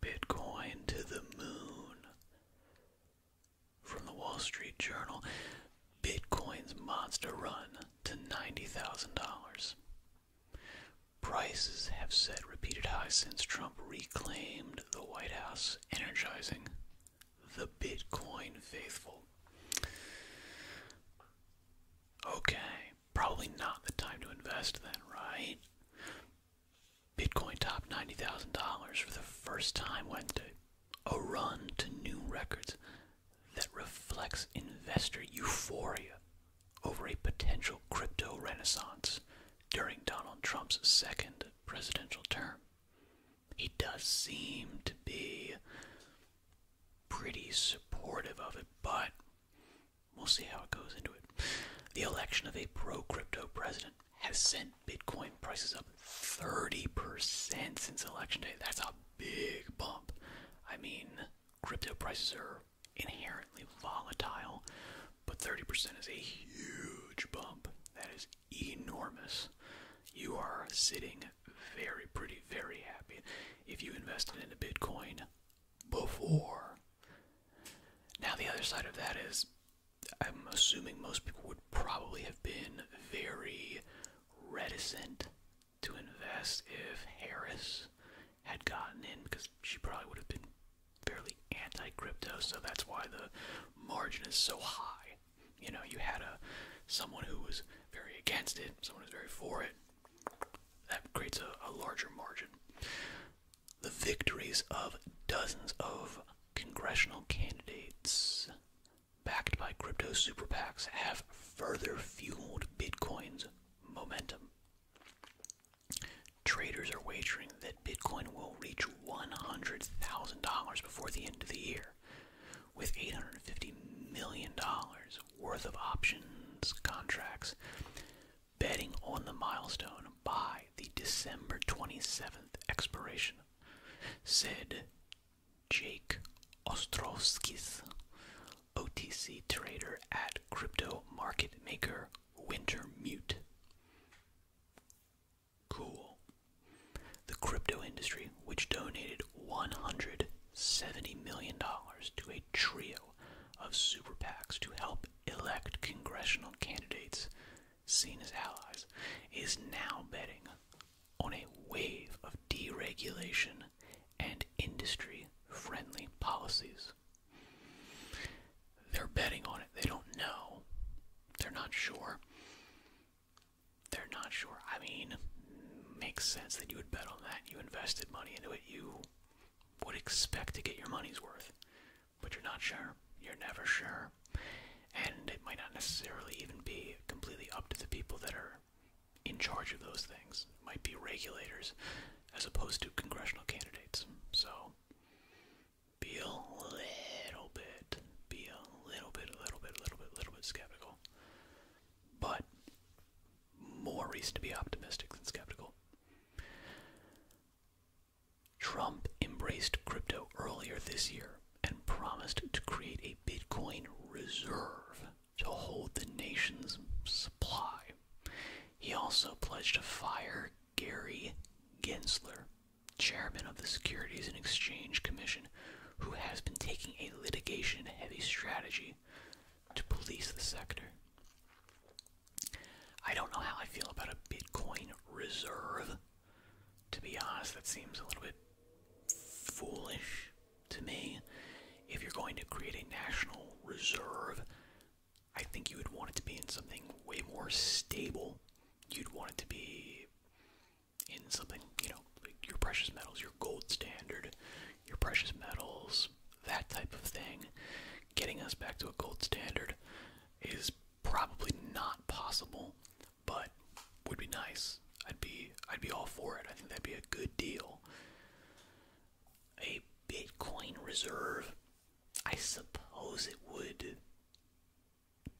Bitcoin to the moon. From the Wall Street Journal, Bitcoin's monster run to $90,000. Prices have set repeated highs since Trump reclaimed the White House, energizing the Bitcoin faithful. Okay, probably not the time to invest then, right? Bitcoin topped $90,000 for the first time Wednesday, a run to new records that reflects investor euphoria over a potential crypto renaissance during Donald Trump's second presidential term. He does seem to be pretty supportive of it, but We'll see how it goes into it. The election of a pro crypto president has sent Bitcoin prices up 30% since election day. That's a big bump. I mean, crypto prices are inherently volatile, but 30% is a huge bump. That is enormous. You are sitting very pretty, very happy. If you invested in a Bitcoin, before. Now, the other side of that is I'm assuming most people would probably have been very reticent to invest if Harris had gotten in because she probably would have been fairly anti crypto, so that's why the margin is so high. You know, you had a someone who was very against it, someone who's very for it. That creates a, a larger margin the victories of dozens of congressional candidates backed by crypto super PACs have further fueled Bitcoin's momentum. Traders are wagering that Bitcoin will reach $100,000 before the end of the year, with $850 million worth of options contracts betting on the milestone by the December 27th expiration, said Jake Ostrovskis, OTC trader at crypto market maker Wintermute. Cool. The crypto industry, which donated $170 million to a trio of super PACs to help elect congressional candidates seen as allies is now betting on a wave of deregulation and industry friendly policies. They're betting on it. They don't know. They're not sure. They're not sure. I mean, makes sense that you would bet on that. You invested money into it. You would expect to get your money's worth, but you're not sure. You're never sure. And it might not necessarily even be completely up to the people that are in charge of those things. might be regulators as opposed to congressional candidates. So be a little bit, be a little bit, a little bit, a little bit, a little bit skeptical. But more reason to be optimistic than skeptical. Trump embraced crypto earlier this year and promised to create a Bitcoin reserve to hold the nation's supply. He also pledged to fire Gary Gensler, chairman of the Securities and Exchange Commission, who has been taking a litigation heavy strategy to police the sector. I don't know how I feel about a Bitcoin reserve. To be honest, that seems a little bit foolish to me. If you're going to create a national reserve, I think you would want it to be in something way more stable. You'd want it to be in something, you know, your precious metals, your gold standard, your precious metals, that type of thing, getting us back to a gold standard is probably not possible, but would be nice. I'd be I'd be all for it. I think that'd be a good deal. A Bitcoin reserve, I suppose it would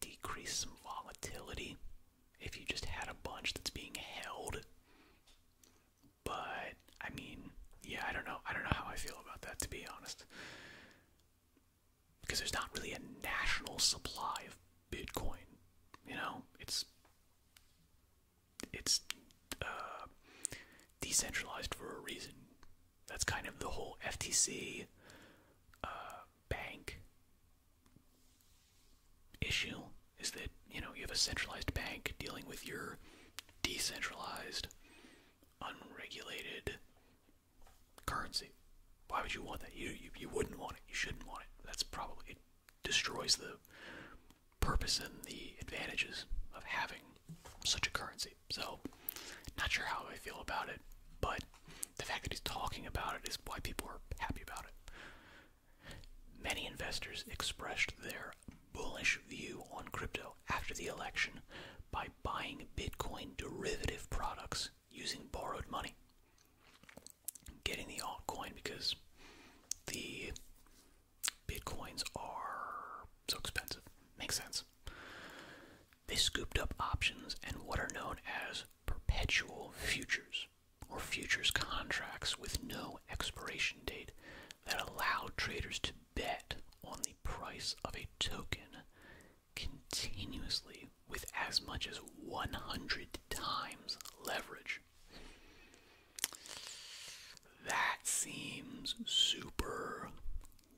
decrease some volatility if you just had a bunch that's being held but I mean, yeah, I don't know. I don't know how I feel about that to be honest. Because there's not really a national supply of Bitcoin, you know? It's it's uh, decentralized for a reason. That's kind of the whole FTC uh, bank issue is that you know you have a centralized bank dealing with your decentralized unregulated currency why would you want that you, you wouldn't want it you shouldn't want it that's probably it destroys the purpose and the advantages of having such a currency so not sure how i feel about it but the fact that he's talking about it is why people are happy about it Many investors expressed their bullish view on crypto after the election by buying Bitcoin derivative products using borrowed money. Getting the altcoin because the Bitcoins are so expensive. Makes sense. They scooped up options and what are known as perpetual futures or futures contracts with no expiration date that allowed traders to bet on the price of a token continuously with as much as 100 times leverage. That seems super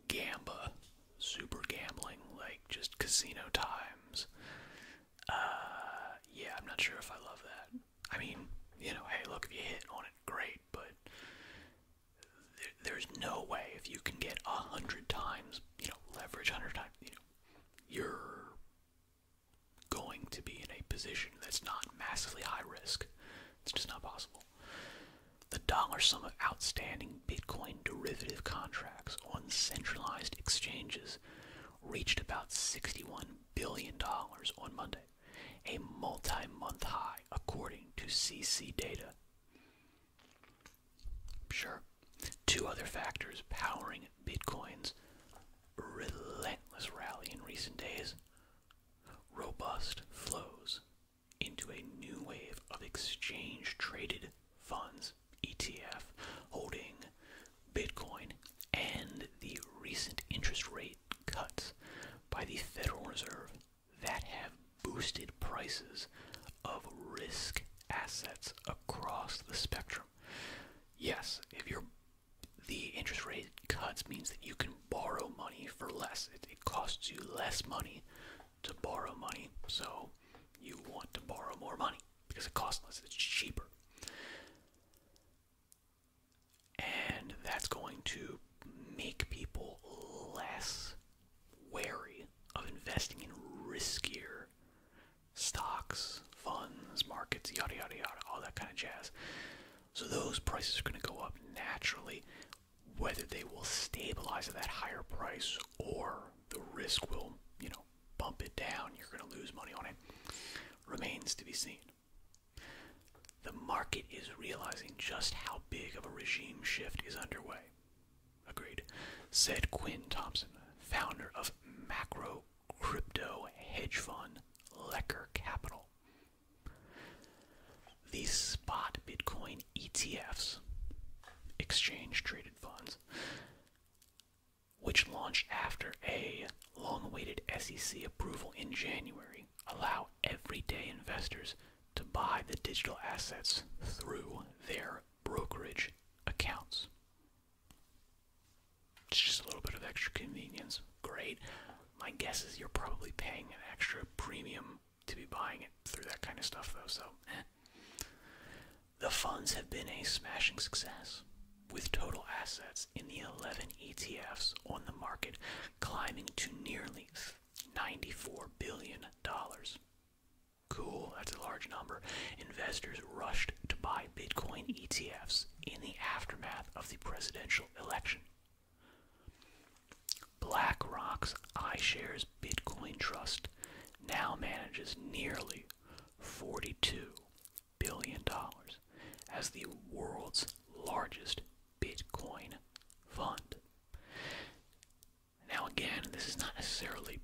gamba, super gambling, like just casino times. Uh, yeah, I'm not sure if I love that. I mean, you know, hey, look, if you hit on it, great, but there's no way if you can get a hundred times, you know, leverage hundred times, you know, you're going to be in a position that's not massively high risk. It's just not possible. The dollar sum of outstanding Bitcoin derivative contracts on centralized exchanges reached about $61 billion on Monday, a multi month high, according to CC data. Sure, two other factors powering Bitcoin's relentless rally in recent days robust flows into a new wave of exchange traded funds ETF holding Bitcoin and the recent interest rate cuts by the Federal Reserve that have boosted prices of risk assets across the spectrum. Yes, if you're the interest rate cuts means that you can borrow money for less. It, it costs you less money to borrow money, so you want to borrow more money because it costs less, it's cheaper. And that's going to make people less wary of investing in riskier stocks, funds, markets, yada yada yada, all that kind of jazz. So those prices are going to go up naturally, whether they will stabilize at that higher price or the risk will, you know, bump it down, you're going to lose money on it. Remains to be seen. The market is realizing just how big of a regime shift is underway. Agreed, said Quinn Thompson, founder of macro crypto hedge fund Lecker Capital. These spot Bitcoin ETFs, exchange traded funds, which launched after a long awaited SEC approval in January, allow everyday investors to buy the digital assets through their brokerage accounts. It's just a little bit of extra convenience. Great. My guess is you're probably paying an extra premium to be buying it through that kind of stuff, though, so eh. The funds have been a smashing success, with total assets in the 11 ETFs on the market climbing to nearly $94 billion. Cool, that's a large number. Investors rushed to buy Bitcoin ETFs in the aftermath of the presidential election. BlackRock's iShares Bitcoin Trust now manages nearly $42 billion as the world's largest Bitcoin fund. Now, again, this is not necessarily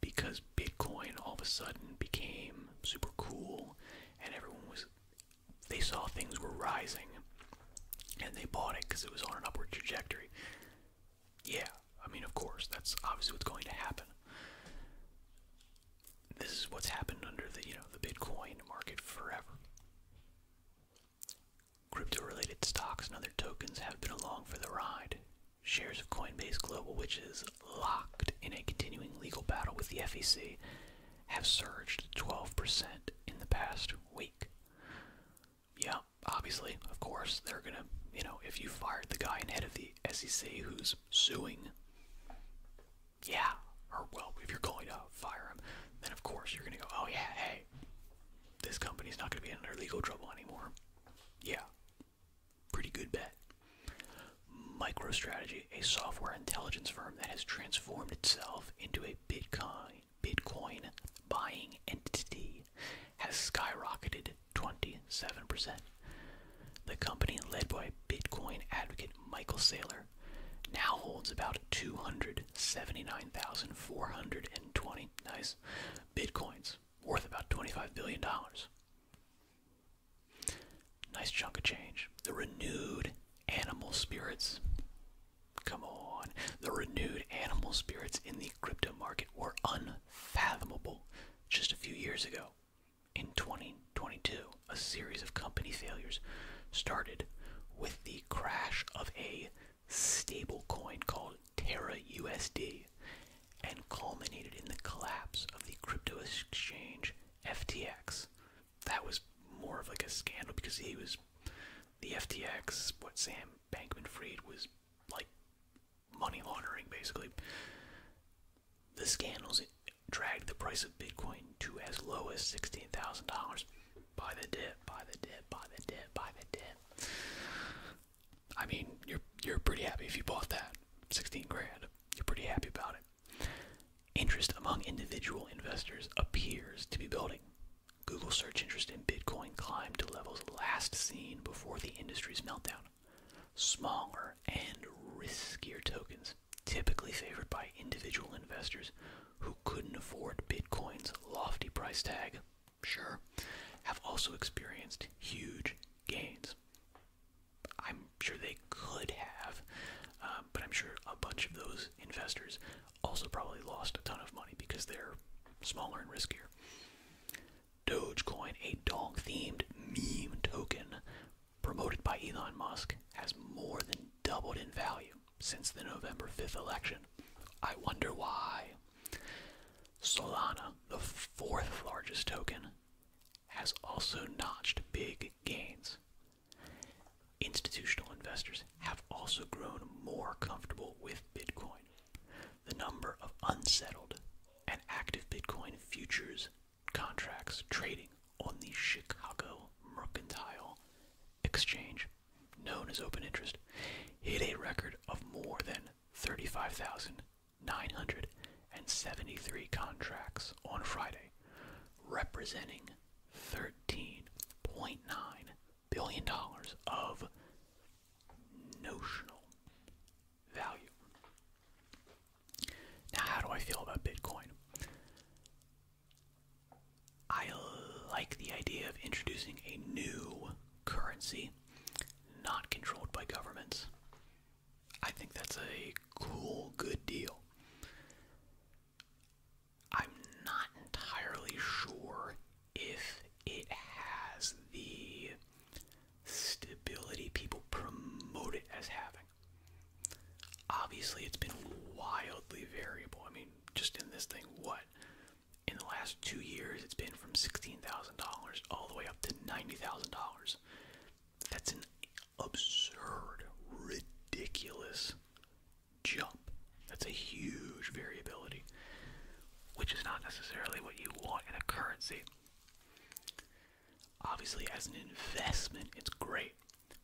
because Bitcoin all of a sudden became super cool and everyone was, they saw things were rising and they bought it because it was on an upward trajectory. Yeah, I mean, of course, that's obviously what's going to happen. This is what's happened under the, you know, the Bitcoin market forever. Crypto-related stocks and other tokens have been along for the ride. Shares of Coinbase Global, which is locked in a continuing legal battle with the FEC, have surged 12% in the past week yeah, obviously, of course, they're gonna, you know, if you fired the guy in head of the SEC who's suing, yeah, or well, if you're going to fire him, then of course you're gonna go, oh yeah, hey, this company's not gonna be in under legal trouble anymore. Yeah, pretty good bet. MicroStrategy, a software intelligence firm that has transformed itself into a Bitcoin Bitcoin buying entity has skyrocketed 27%. The company, led by Bitcoin advocate Michael Saylor, now holds about 279,420 nice bitcoins worth about 25 billion dollars. Nice chunk of change. The renewed animal spirits Come on. The renewed animal spirits in the crypto market were unfathomable just a few years ago. In 2022, a series of company failures started with the crash of a stablecoin called Terra USD and culminated in the collapse of the crypto exchange FTX. That was more of like a scandal because he was the FTX, what Sam Bankman Fried was like money laundering basically. The scandals dragged the price of Bitcoin to as low as $16,000 by the dip, by the dip, by the dip, by the dip. I mean, you're you're pretty happy if you bought that 16 grand. You're pretty happy about it. Interest among individual investors appears to be building. Google search interest in Bitcoin climbed to levels last seen before the industry's meltdown. Smaller and riskier tokens, typically favored by individual investors who couldn't afford Bitcoin's lofty price tag, sure, have also experienced huge gains. I'm sure they could have, uh, but I'm sure a bunch of those investors also probably lost a ton of money because they're smaller and riskier. Dogecoin, a dog themed meme token promoted by Elon Musk, has more than doubled in value since the November 5th election. I wonder why. Solana, the fourth largest token, has also notched big gains Institutional investors have also grown more comfortable with Bitcoin. The number of unsettled and active Bitcoin futures contracts trading on the Chicago Mercantile Exchange, known as Open Interest, hit a record of more than 35,973 contracts on Friday, representing $13.9 billion of notional value. Now, how do I feel about Bitcoin? I like the idea of introducing a new currency not controlled by governments. I think that's a cool, good deal. I'm not entirely sure if it has the stability people promote it as having. Obviously, it's been wildly variable. I mean, just in this thing, what? In the last two years, it's been from $16,000 all the way up to $90,000. That's an absurd, ridiculous jump. That's a huge variability, which is not necessarily what you want in a currency. Obviously, as an investment, it's great,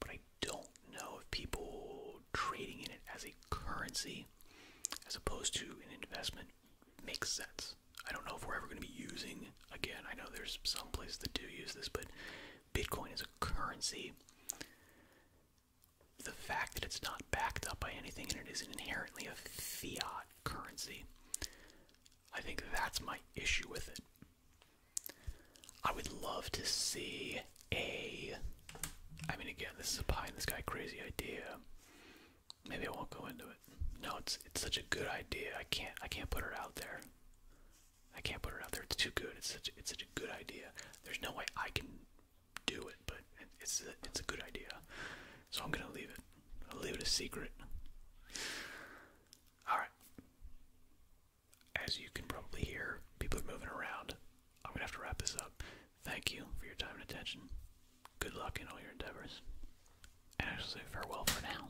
but I don't know if people trading in it as a currency as opposed to an investment makes sense. I don't know if we're ever going to be using again. I know there's some places that do use this, but Bitcoin is a currency. The fact that it's not backed up by anything and it is inherently a fiat currency, I think that's my issue with it. I would love to see a. I mean, again, this is a pie in the crazy idea. Maybe I won't go into it. No, it's it's such a good idea. I can't I can't put it out there. I can't put it out there. It's too good. It's such, a good idea. There's no way I can do it, but it's a, good idea. So I'm gonna leave it. i leave it a secret. All right. As you can probably hear, people are moving around. I'm gonna have to wrap this up. Thank you for your time and attention. Good luck in all your endeavors. And I'll say farewell for now.